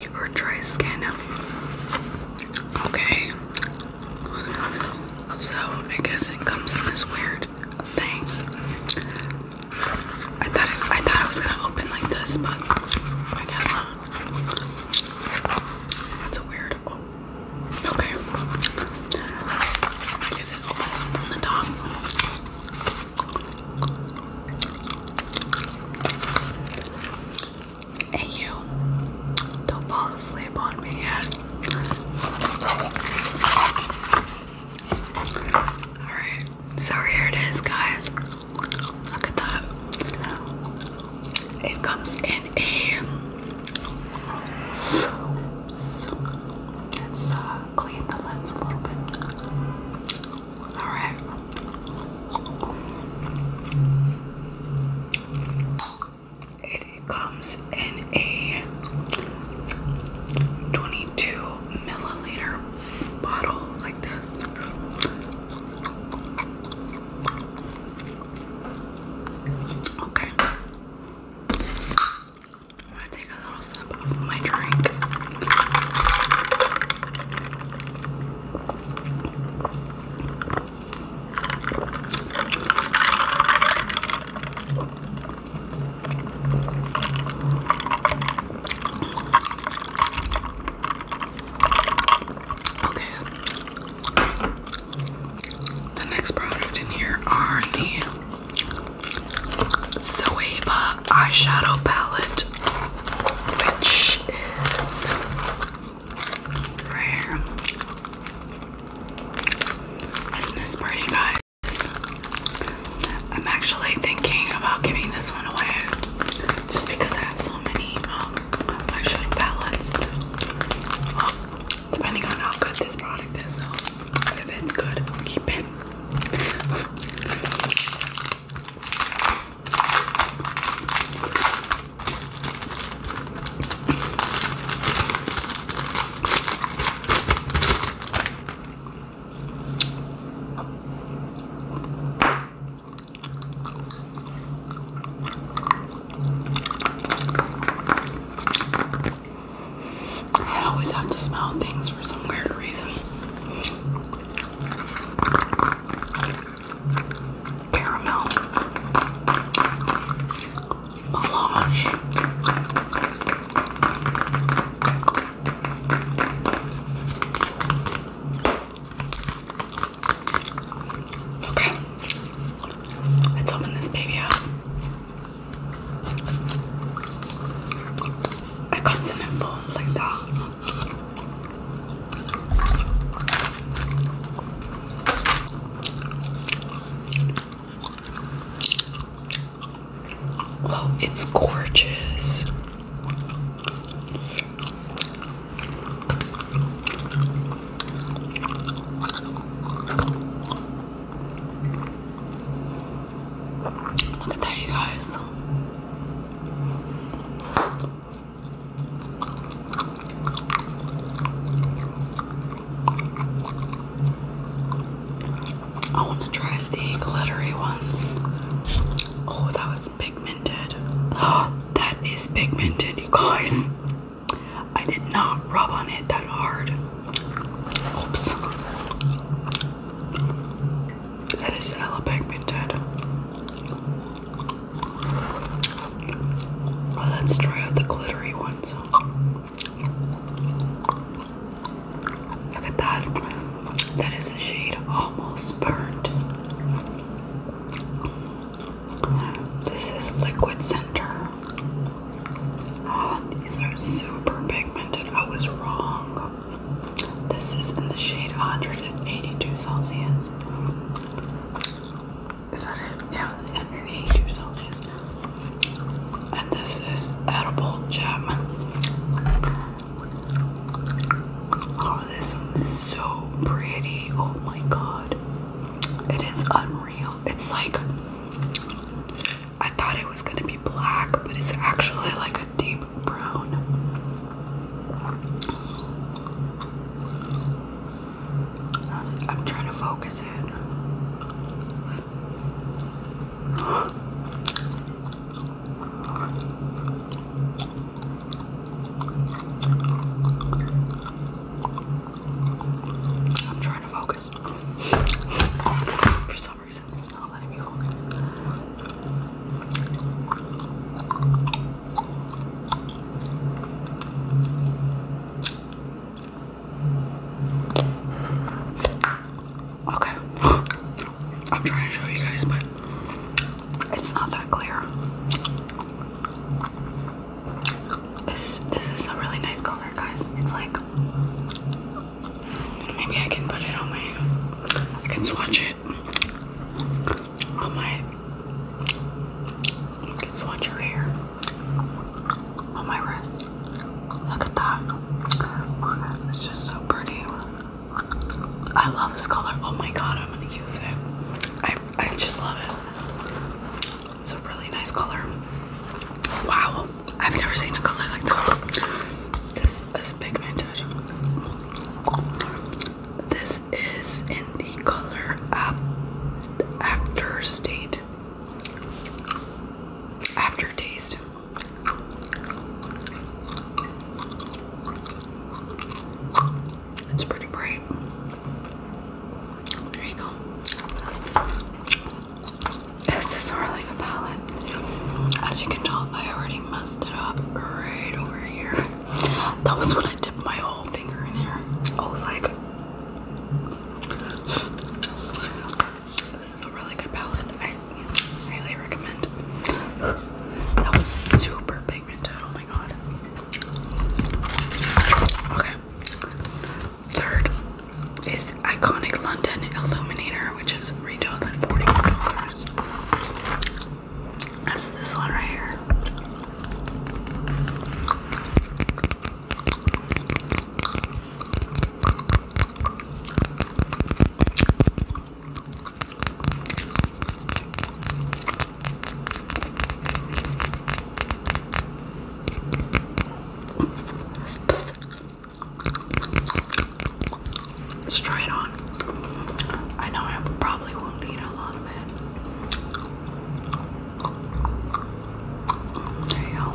Your dry skin. Okay. So I guess it comes in this weird thing. I thought I thought I was gonna open like this, but I guess not. That's a weird. Oh, okay. I guess it opens from the top and you don't fall asleep on me yet. Alright, so here it is, guys. Look at that. It comes in a. let's uh, clean the lens a little bit. All right. It comes in a 22 milliliter bottle like this. Okay. i take a little sip of my drink. Okay. The next product in here are the Zoeva eyeshadow palette, which is right here. And this guys. I'm actually thinking about giving this one away just because I have so many um, eyeshadow palettes. depending on how good this product is, so if it's good, keep it. I always have to smell things for some weird reason caramel, melange, okay, let's open this baby up. It comes in a like that. Oh, it's gorgeous. Look at that, guys. I want to try the glittery ones. Oh, that was pigmented. that is pigmented, you guys. I did not rub on it that hard. Oops. That is Ella Bankman let's try out the glittery ones. Look at that. That is the shade almost burnt. This is liquid center. Oh, these are super pigmented. I was wrong. This is in the shade 182 Celsius. Is that it? Yeah, 182 Celsius. And this is edible jam. Oh, this is so pretty. Oh my god. It is unreal. It's like I thought it was gonna be black, but it's actually like a deep brown. I'm, I'm trying to focus it. I'm trying to focus. For some reason, it's not. Okay, I'm trying to show you guys, but it's not that clear. this is a really nice color, guys. It's like maybe I can put it on my. I can swatch it I might. swatch your hair on my wrist. Look at that. It's just so pretty. I love this color. Oh my god, I'm gonna use it. I I just love it. It's a really nice color. Wow, I've never seen a color like that. This is less pigmented. This is in the color After State. Aftertaste. It's pretty bright. There you go. This is more like a palette. As you can tell, I already messed it up right over here. That was when I dipped my whole finger in there. I like, this is a really good palette. I highly recommend. That was super pigmented. Oh my god. Okay. Third is Iconic London Illuminator which is retailed at $40. That's this one right here. Let's try it on. I know I probably won't need a lot of it. There you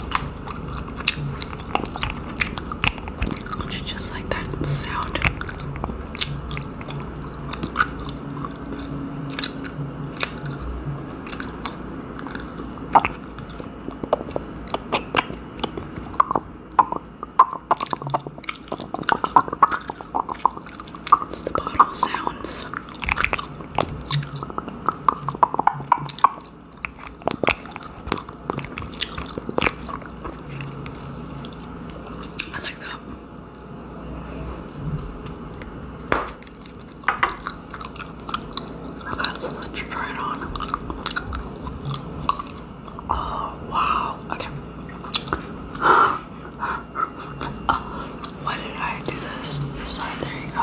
go. Would you just like that sound? It's the bottle sounds. I like that. Okay, let's try it on. Oh wow. Okay. why did I do this? there you go.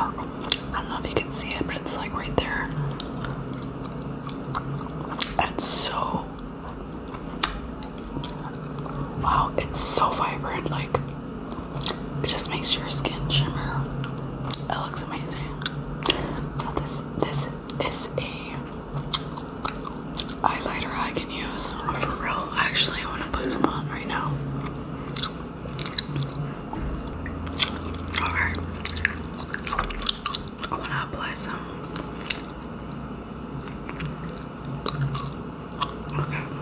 I don't know if you can see it, but it's like right there. It's so wow, it's so vibrant, like it just makes your skin shimmer. It looks amazing. this this is a eyeliner I can use oh, for real. Actually, I want to put some on right now. Alright. I want to apply some. Okay.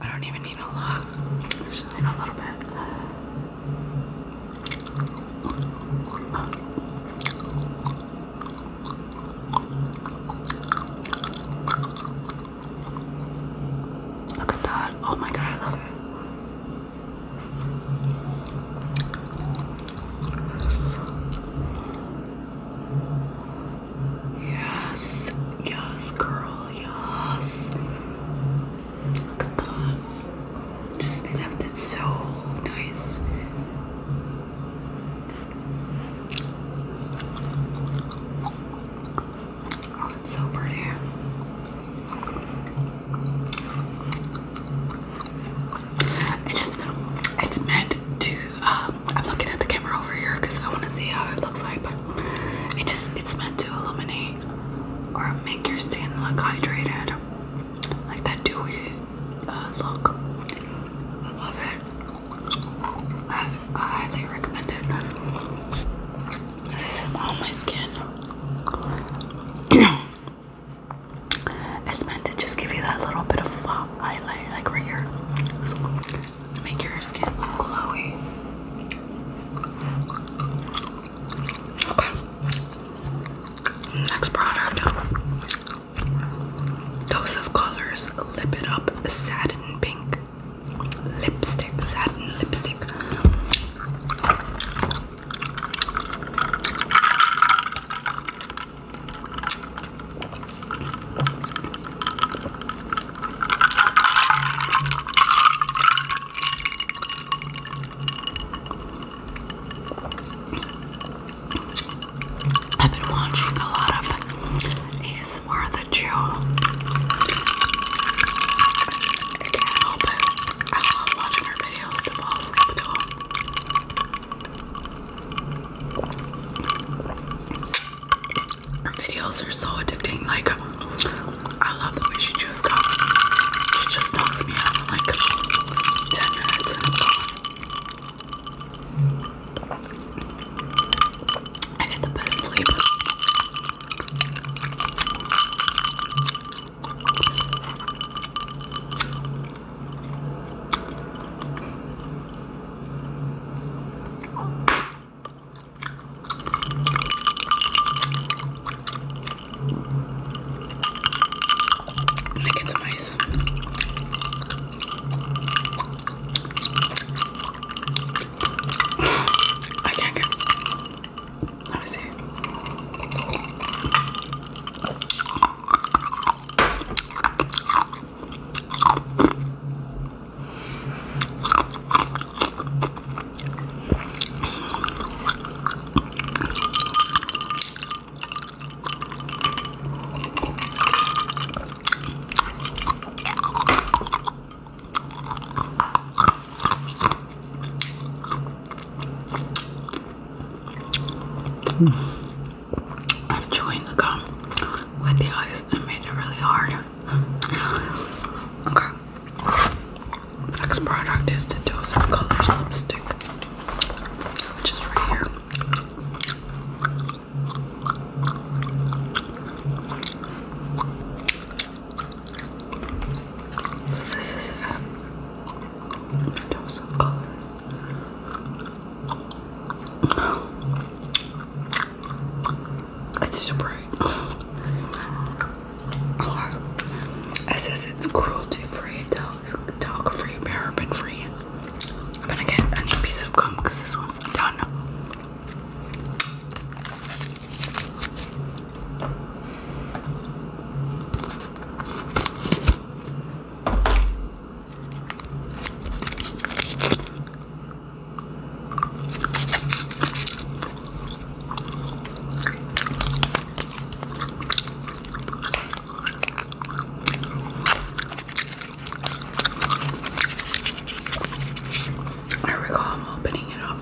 I don't even need a lock. just need a little bit. Look at that. Oh my god, Yes, yes, girl, yes. Look at that. Just left it so nice. Oh, it's so pretty. It's just, it's meant to, um, I'm looking at the camera over here because I want to see how it looks like, it just it's meant to illuminate or make your skin look hydrated. Like that dewy uh, look. I love it. I highly recommend it. This is on my skin. it's meant to just give you that little bit of highlight, like right here make your skin look glowy. Next product. Dose of colors. Lip it up. Satin pink. Lipstick. Satin lipstick. I've been watching a lot of ASMR Worth a I can I love watching her videos to fall asleep to them. Her videos are so addicting. Like, I love the way she chews gum. She just knocks me out in like 10 minutes I get the best sleep. I'm gonna get some ice. I can't get. Let me see. I'm chewing the gum with the ice I made it really hard. Okay. Next product is the Dose of Colors lipstick, which is right here. this is it. Dose Colors. It's so bright. It says it's cruelty free, talc free, paraben free. I'm gonna get a new piece of gum because this one's done. There we go, I'm opening it up.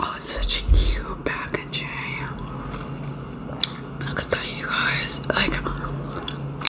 Oh, it's such a cute packaging. Look at that, you guys. Like,